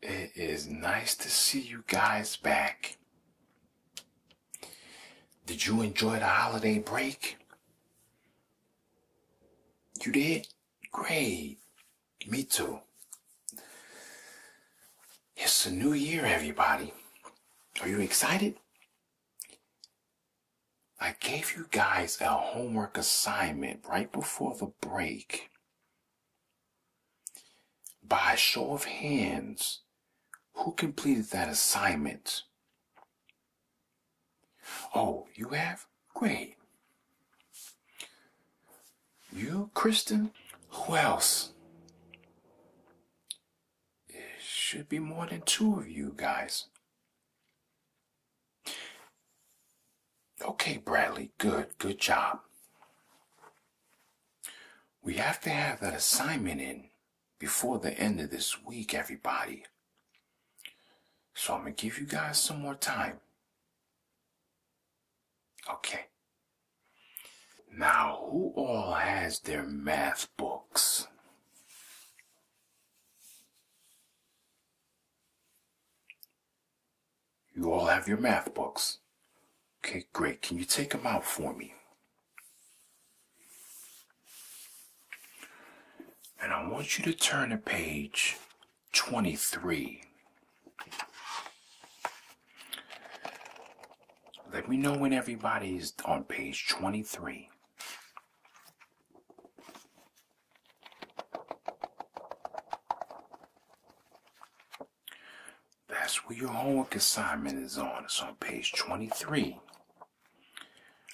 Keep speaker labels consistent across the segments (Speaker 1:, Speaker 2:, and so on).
Speaker 1: It is nice to see you guys back. Did you enjoy the holiday break? You did? Great. Me too. It's a new year, everybody. Are you excited? I gave you guys a homework assignment right before the break. By a show of hands, who completed that assignment? Oh, you have? Great. You, Kristen? Who else? It should be more than two of you guys. Okay, Bradley, good, good job. We have to have that assignment in before the end of this week, everybody. So I'm going to give you guys some more time. Okay. Now, who all has their math books? You all have your math books. Okay, great. Can you take them out for me? And I want you to turn to page 23. Let me know when everybody's on page 23. That's where your homework assignment is on. It's on page 23.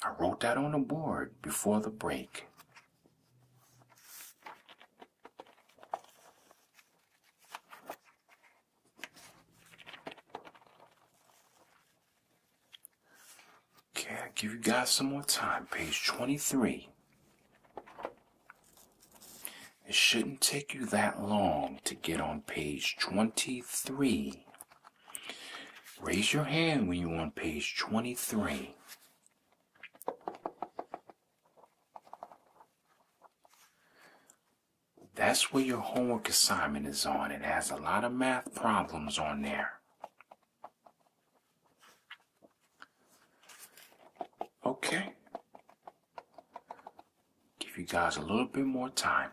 Speaker 1: I wrote that on the board before the break. Okay, i give you guys some more time. Page 23. It shouldn't take you that long to get on page 23. Raise your hand when you're on page 23. That's where your homework assignment is on. It has a lot of math problems on there. Okay. Give you guys a little bit more time.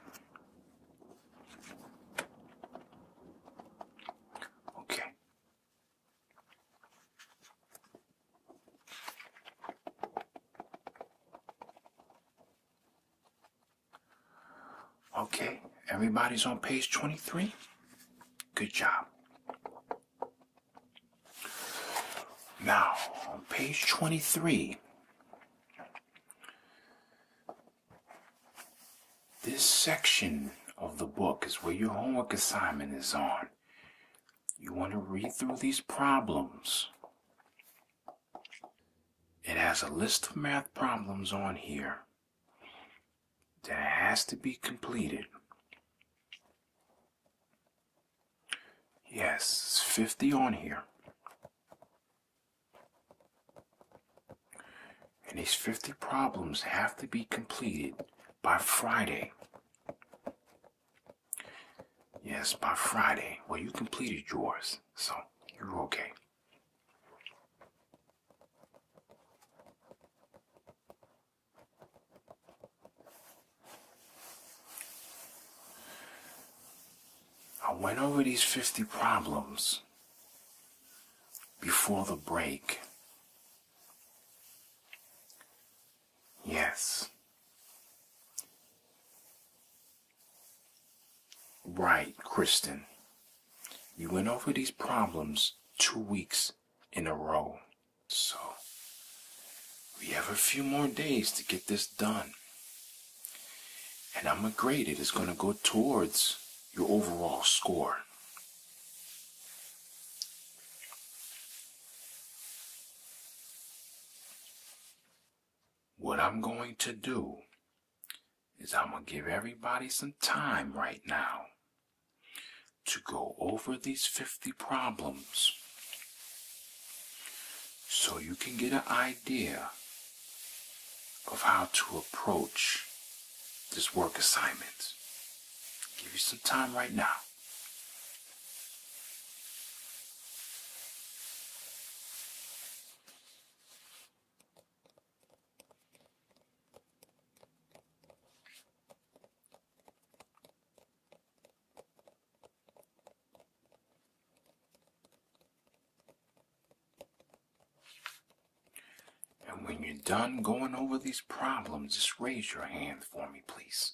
Speaker 1: Okay. Okay, everybody's on page 23. Good job. Now, on page 23, this section of the book is where your homework assignment is on. You want to read through these problems. It has a list of math problems on here that has to be completed. Yes, it's 50 on here. And these 50 problems have to be completed by Friday. Yes, by Friday. Well, you completed yours, so you're okay. I went over these 50 problems before the break. Yes. Right, Kristen. You went over these problems two weeks in a row. So we have a few more days to get this done. And I'm going to It's going to go towards your overall score. What I'm going to do is I'm going to give everybody some time right now to go over these 50 problems so you can get an idea of how to approach this work assignment. give you some time right now. And when you're done going over these problems, just raise your hand for me, please.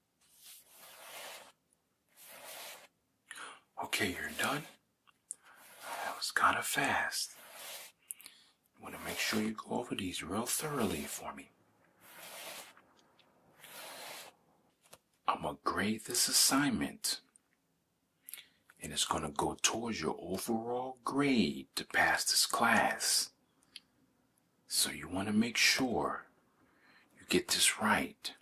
Speaker 1: Okay, you're done. That was kind of fast. You want to make sure you go over these real thoroughly for me. I'm going to grade this assignment. And it's going to go towards your overall grade to pass this class. So you want to make sure you get this right.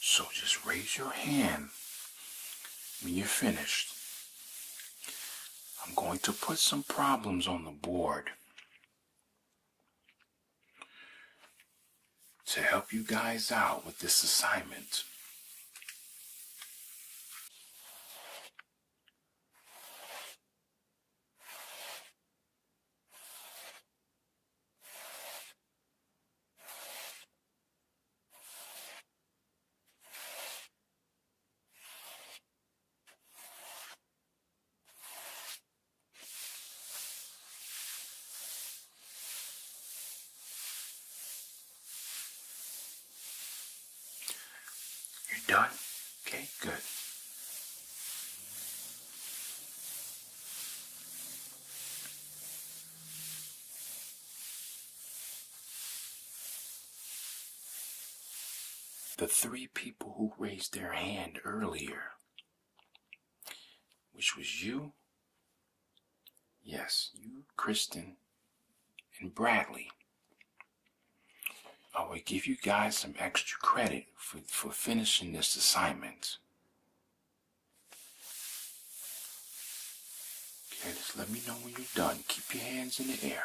Speaker 1: So just raise your hand when you're finished. I'm going to put some problems on the board to help you guys out with this assignment. You're done? Okay, good. The three people who raised their hand earlier, which was you, yes, you, Kristen, and Bradley. I will give you guys some extra credit for, for finishing this assignment. Okay, just let me know when you're done. Keep your hands in the air.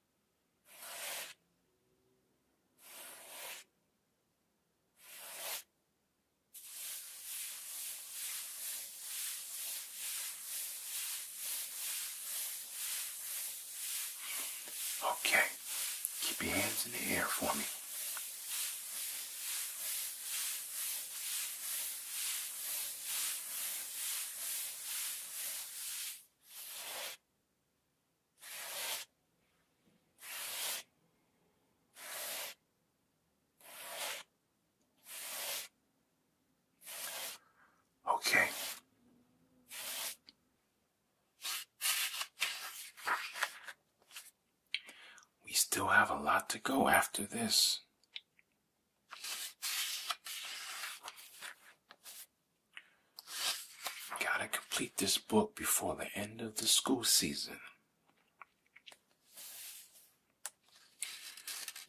Speaker 1: Okay, keep your hands in the air for me. Okay. We still have a lot to go after this. Gotta complete this book before the end of the school season.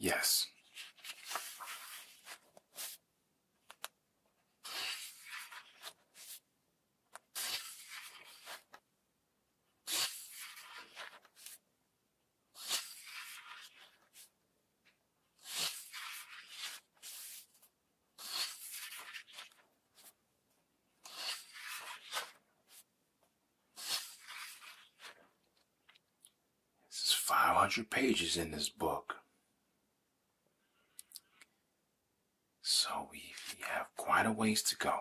Speaker 1: Yes. This is 500 pages in this book. So we, we have quite a ways to go.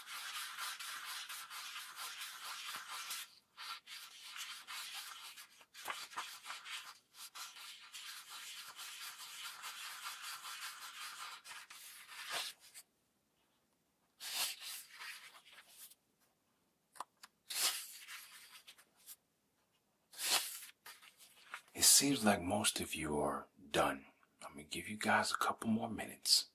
Speaker 1: It seems like most of you are done. I'm gonna give you guys a couple more minutes.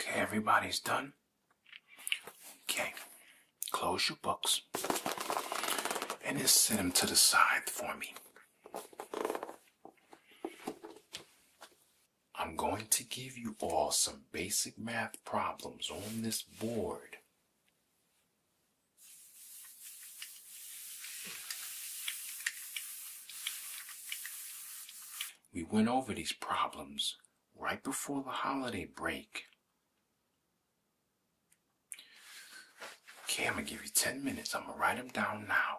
Speaker 1: Okay, everybody's done. Okay, close your books and just set them to the side for me. I'm going to give you all some basic math problems on this board. We went over these problems right before the holiday break. Okay, I'm gonna give you 10 minutes. I'm gonna write them down now.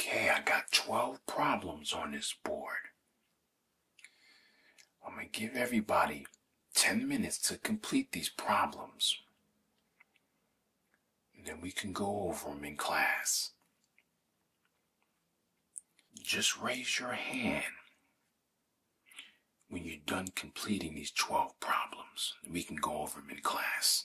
Speaker 1: Okay, I got 12 problems on this board. I'm going to give everybody 10 minutes to complete these problems then we can go over them in class. Just raise your hand when you're done completing these 12 problems. We can go over them in class.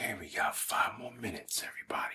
Speaker 1: Okay, we got five more minutes, everybody.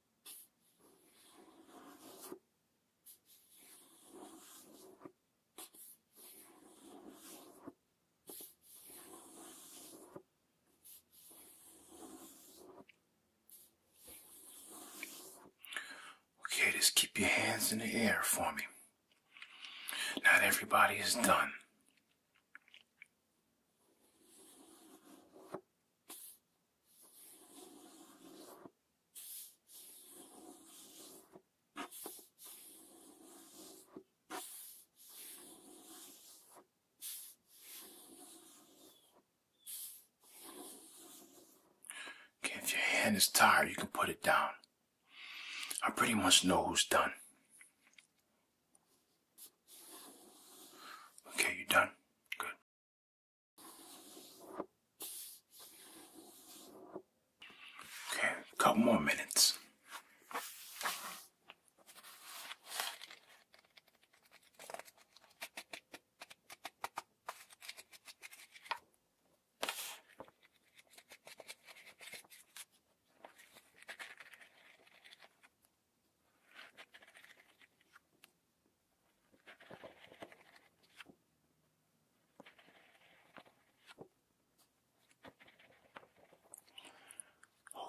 Speaker 1: Okay, just keep your hands in the air for me. Not everybody is done if your hand is tired, you can put it down. I pretty much know who's done. Okay, you done? Good. Okay, couple more minutes.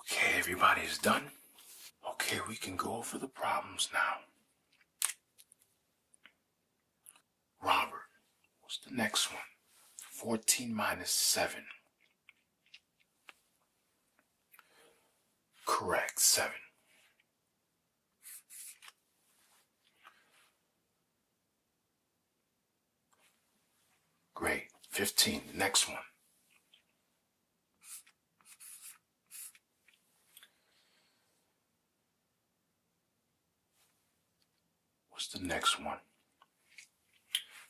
Speaker 1: Okay, everybody's done. Okay, we can go over the problems now. Robert, what's the next one? 14 minus 7. Correct, seven. Great, 15, next one. What's the next one?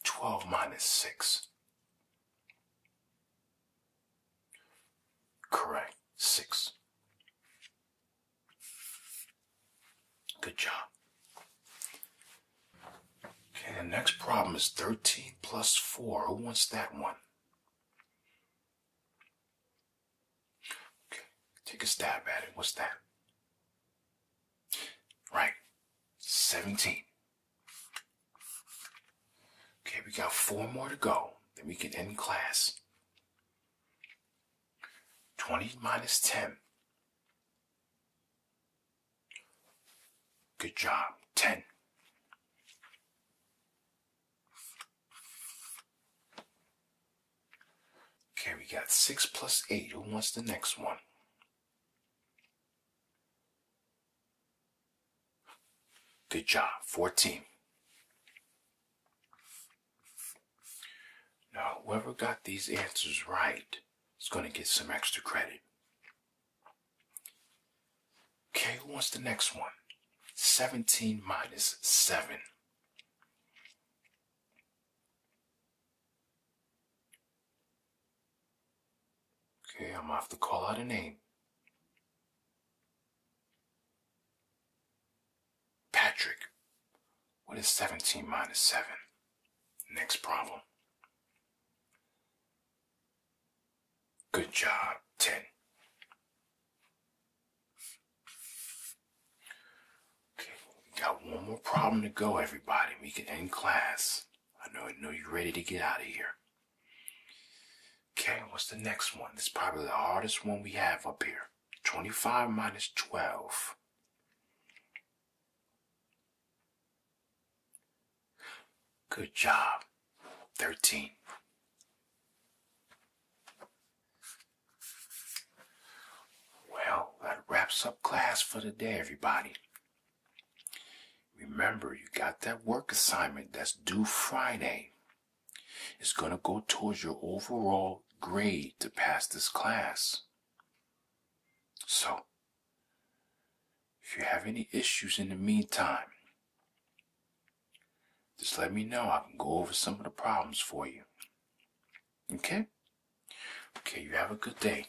Speaker 1: 12 minus 6. Correct. Six. Good job. Okay, the next problem is 13 plus 4. Who wants that one? Okay, take a stab at it. What's that? Right. 17. Okay, we got four more to go. Then we can end class. 20 minus 10. Good job. 10. Okay, we got 6 plus 8. Who wants the next one? Good job. 14. Now, whoever got these answers right is going to get some extra credit. Okay, who wants the next one? 17 minus 7. Okay, I'm off to call out a name. Patrick, what is 17 minus 7? Next problem. Good job, 10. Okay, we got one more problem to go, everybody. We can end class. I know, I know you're ready to get out of here. Okay, what's the next one? It's probably the hardest one we have up here. 25 minus 12. Good job. 13. Well, that wraps up class for the day, everybody. Remember, you got that work assignment that's due Friday. It's going to go towards your overall grade to pass this class. So, if you have any issues in the meantime, just let me know. I can go over some of the problems for you. Okay? Okay, you have a good day.